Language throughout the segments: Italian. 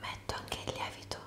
Metto anche il lievito.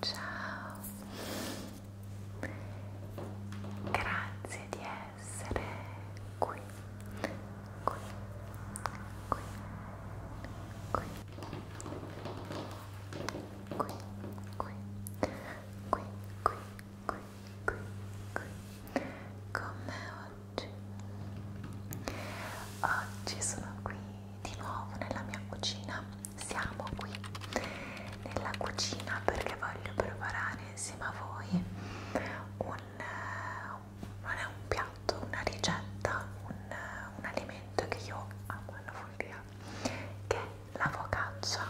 Ciao, grazie di essere qui, qui, qui, qui, qui, qui, qui, qui, qui, qui, qui, con me oggi. Oggi sono qui di nuovo nella mia cucina, siamo qui nella cucina perché voglio preparare insieme a voi un, eh, non è un piatto, una ricetta, un, un alimento che io amo alla follia che è la focaccia.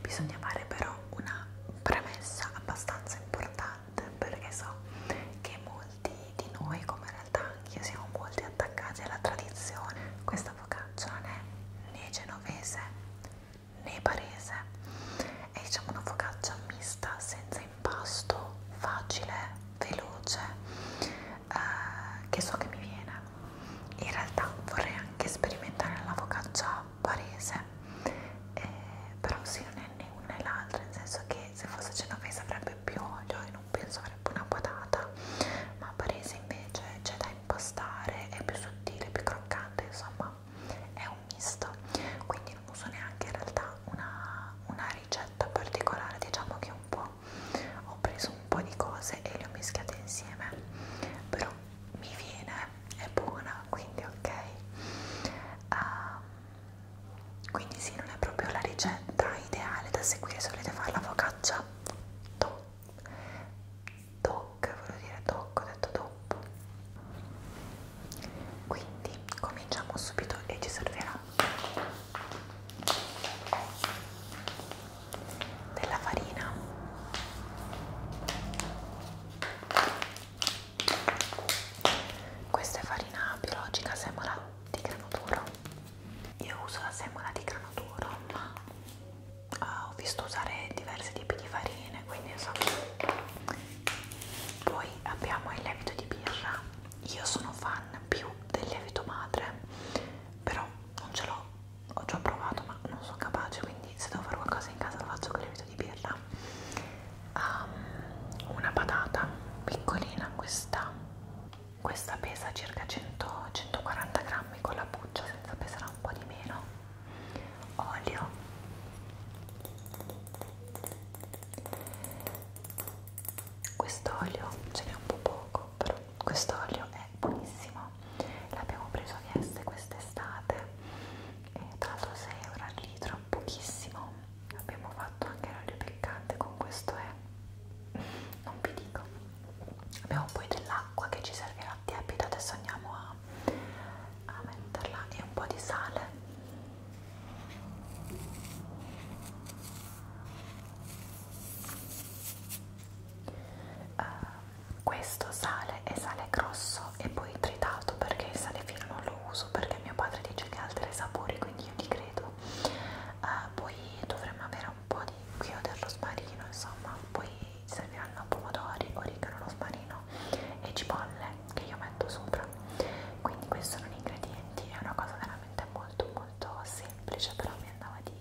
Bisogna fare però una premessa abbastanza importante perché so che molti di noi, come in realtà anche siamo molti attaccati alla tradizione, questa focaccia non è né genovese né parese, è diciamo una focaccia mista senza impasto, facile, veloce, eh, che so che mi viene in realtà vorrei anche sperimentare la focaccia barese eh, però sì non è né una né l'altra nel senso che se fosse genovese avrebbe più olio e non penso avrebbe una patata ma barese invece c'è da impastare è più sottile, più croccante insomma è un misto quindi non uso neanche in realtà una, una ricetta particolare diciamo che un po' ho preso un un po' di cose e le ho mischiate insieme però mi viene, è buona quindi ok uh, quindi sì non è proprio la ricetta ideale da seguire se volete fare la focaccia to toc, volevo dire toc, ho detto dopo quindi cominciamo subito e ci servirà della farina questa è farina biologica semola di grano duro io uso la semola di grano duro ma eh, ho visto usare diversi tipi di farine quindi insomma poi abbiamo il lievito di birra io sono fan più del lievito madre però non ce l'ho, ho già provato ma non sono capace quindi se devo fare qualcosa in casa lo faccio con il lievito di birra um, una patata piccolina questa questa pesa circa 100, 140 grammi con la buccia senza pesare un po' di meno olio questo olio ce n'è un po' poco Copro. Quest'olio è buonissimo, l'abbiamo preso a Vieste quest'estate e tra l'altro 6 euro al litro, pochissimo. Abbiamo fatto anche l'olio piccante con questo è, non vi dico. Abbiamo poi dell'acqua che ci servirà tiepida, adesso andiamo a, a metterla e un po' di sale uh, questo sale è sale grosso e poi tritato perché il sale fino non lo uso perché mio padre dice che altera i sapori quindi io gli credo uh, poi dovremmo avere un po' di qui ho dello sparino insomma poi serviranno pomodori, origano, lo sparino e cipolle che io metto sopra quindi questi sono gli ingredienti è una cosa veramente molto molto semplice però mi andava di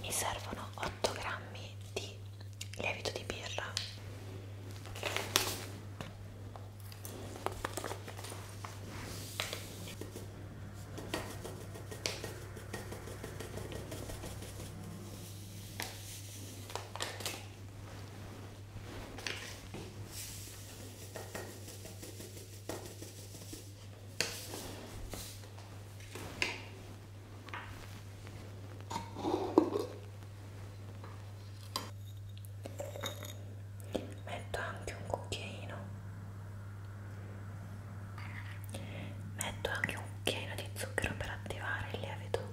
Mi servono 8 grammi di lievito di birra. Metto anche un cucchiaino, metto anche un cucchiaino di zucchero per attivare il lievito.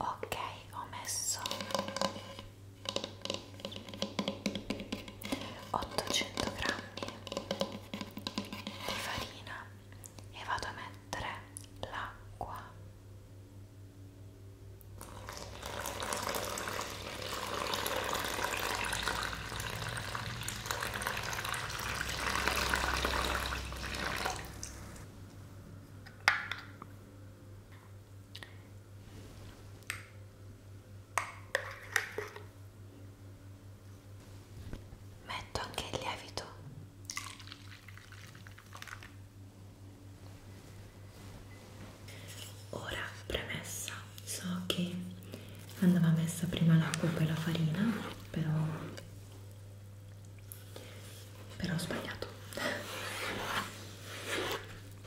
Ok, ho messo 800 grammi di farina e vado a mettere l'acqua Metto anche il lievito Ora, premessa, so che andava messa prima l'acqua e poi la farina, però, però ho sbagliato.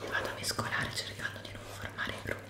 Vado a mescolare cercando di non formare grumi.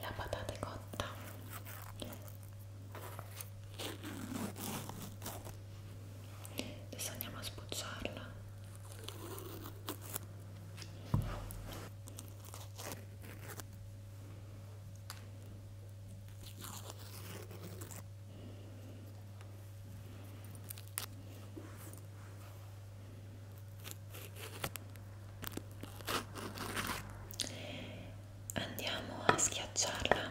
la patata è cotta adesso andiamo a sbucciarla andiamo a schiacciarla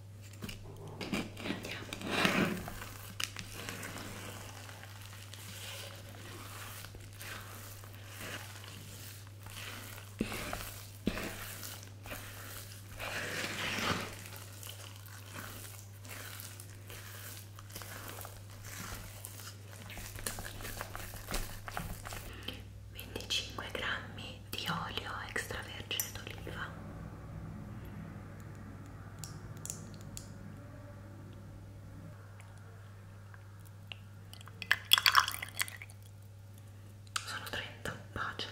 Andiamo. Venticinque grammi di olio extravergine d'oliva sono 30, pace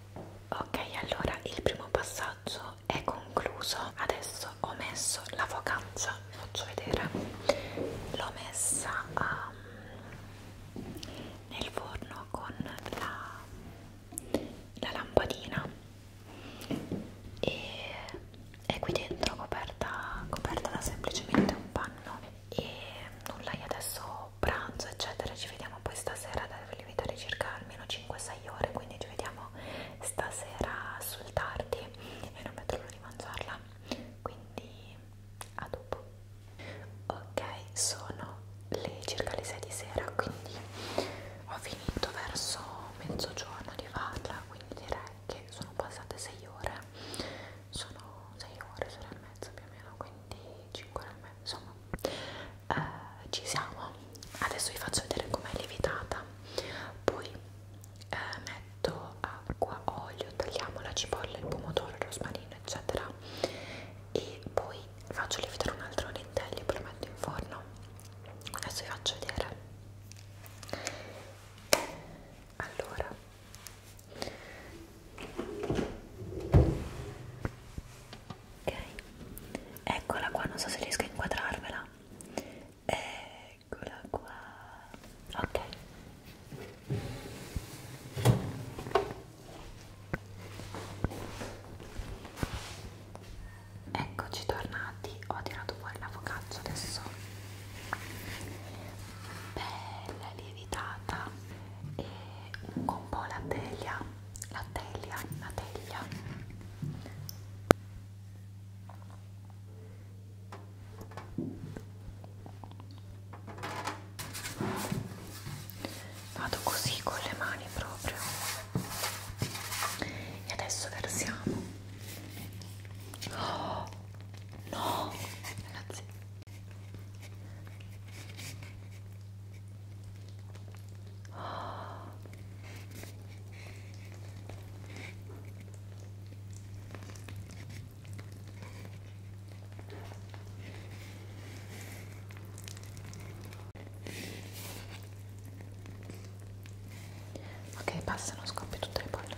ok allora il primo passaggio è concluso adesso ho messo la focaccia vi faccio vedere l'ho messa um, nel forno con la, la lampadina e è qui dentro coperta, coperta da semplicemente un panno e nulla io adesso faccio pranzo eccetera ci vediamo poi stasera devo lievitare circa almeno 5-6 ore quindi ci vediamo stasera sul tardi e non metto l'ora di mangiarla quindi a dopo ok sono le circa le 6 di sera quindi ho finito verso mezzogiorno di farla quindi direi che sono passate 6 ore sono 6 ore, sono e mezza più o meno quindi 5 ore e mezza insomma eh, ci siamo adesso vi faccio vedere com'è lievitata poi eh, metto acqua, olio, tagliamo la cipolla, il pomodoro, il rosmarino eccetera e poi faccio lievitare un altro lentello e poi lo metto in forno adesso vi faccio vedere allora ok eccola qua non so se riesco a inquadrarvela eccola qua ok eccoci tornati ho tirato fuori la focaccia adesso bella lievitata e un po' la teglia la teglia, la teglia vado così con le mani proprio e adesso versiamo oh, no ragazzi Oh. Ok, passano, scoppia tutte le bolle.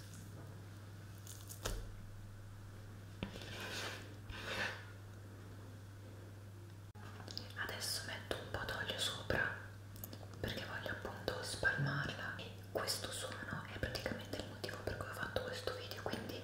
Adesso metto un po' d'olio sopra perché voglio appunto spalmarla e questo suono è praticamente il motivo per cui ho fatto questo video, quindi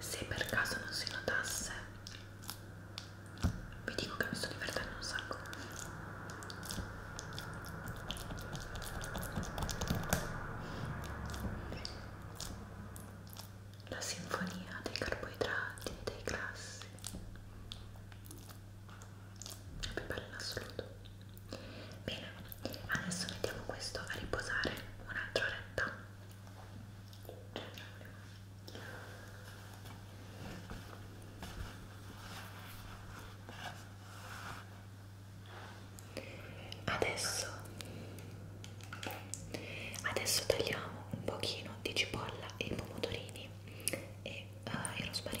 Se per caso non si notasse, vi dico che mi sto divertendo un sacco la sinfonia dei carboidrati, dei grassi è più bella in assoluto bene, adesso mettiamo questo a riposare un'altra oretta adesso adesso tagliamo un pochino di cipolla e i pomodorini e uh, eh, i rosmarini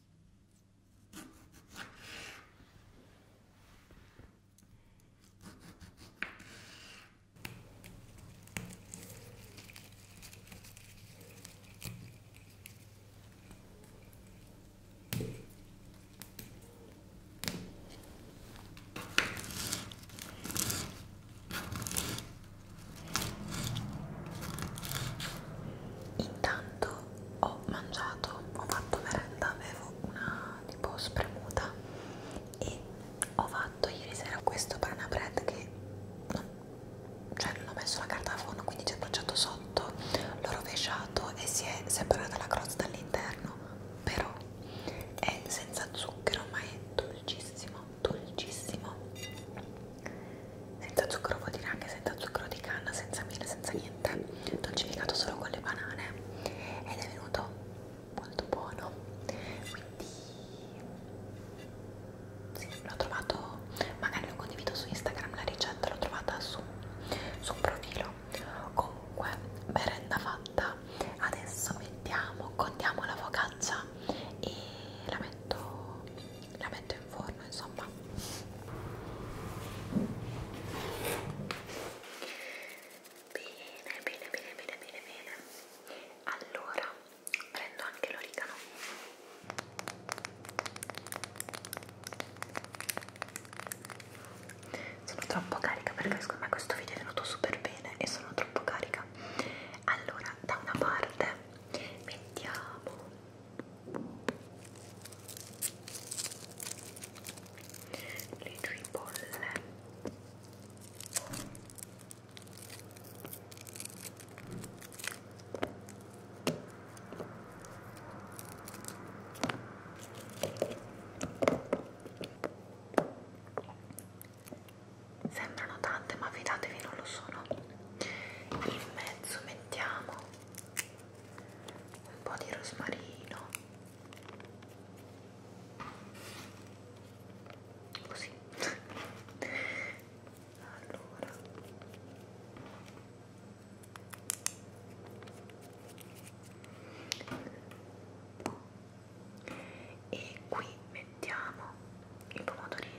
Intanto ho mangiato, ho fatto merenda, avevo una tipo spremuta e ho fatto ieri sera questo banana bread che non, cioè non ho messo la carta da forno quindi ci ho bruciato sotto, l'ho rovesciato e si è separata la crosta dall'interno però è senza zucchero ma è dolcissimo, dolcissimo senza zucchero vuol dire anche senza zucchero di canna, senza miele, senza niente niente dolcificato solo con le banane ed è venuto molto buono quindi sì, l'ho trovato magari lo condivido su Instagram la ricetta l'ho trovata su, su un profilo comunque merenda fatta adesso mettiamo contiamo la focaccia e la metto la metto in forno insomma insomma bene bene bene bene bene bene allora prendo anche l'origano sono troppo carica perché secondo me questo video è venuto super bene e sono troppo carica allora da una parte mettiamo le cipolle Sembrano tante ma fidatevi non lo sono. In mezzo mettiamo un po' di rosmarino così allora e qui mettiamo i pomodorini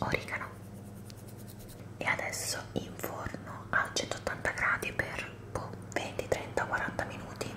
origano e adesso in forno a 180 gradi per boh, 20, 30, 40 minuti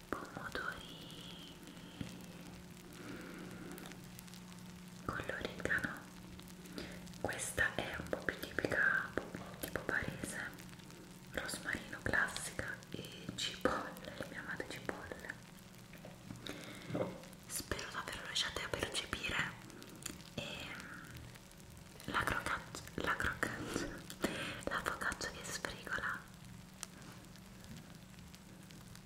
i pomodorini con l'origano questa è un po' più tipica tipo parese rosmarino classica e cipolle le mie amate cipolle spero davvero riusciate a percepire e la crocaccia la crocaccia la focaccia che sfrigola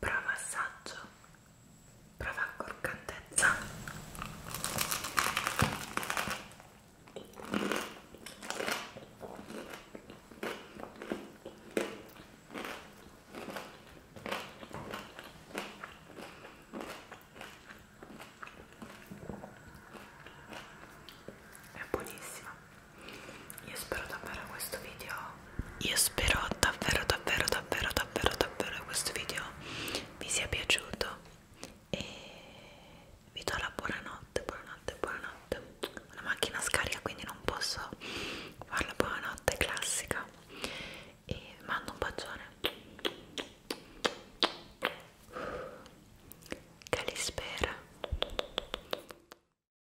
prova assaggio, prova croccantezza. È buonissima. Io spero davvero questo video Io spero davvero davvero davvero davvero davvero questo video vi sia piaciuto e vi do la buonanotte, buonanotte, buonanotte La macchina scarica quindi non posso farla buonanotte classica e mando un bacione che li spera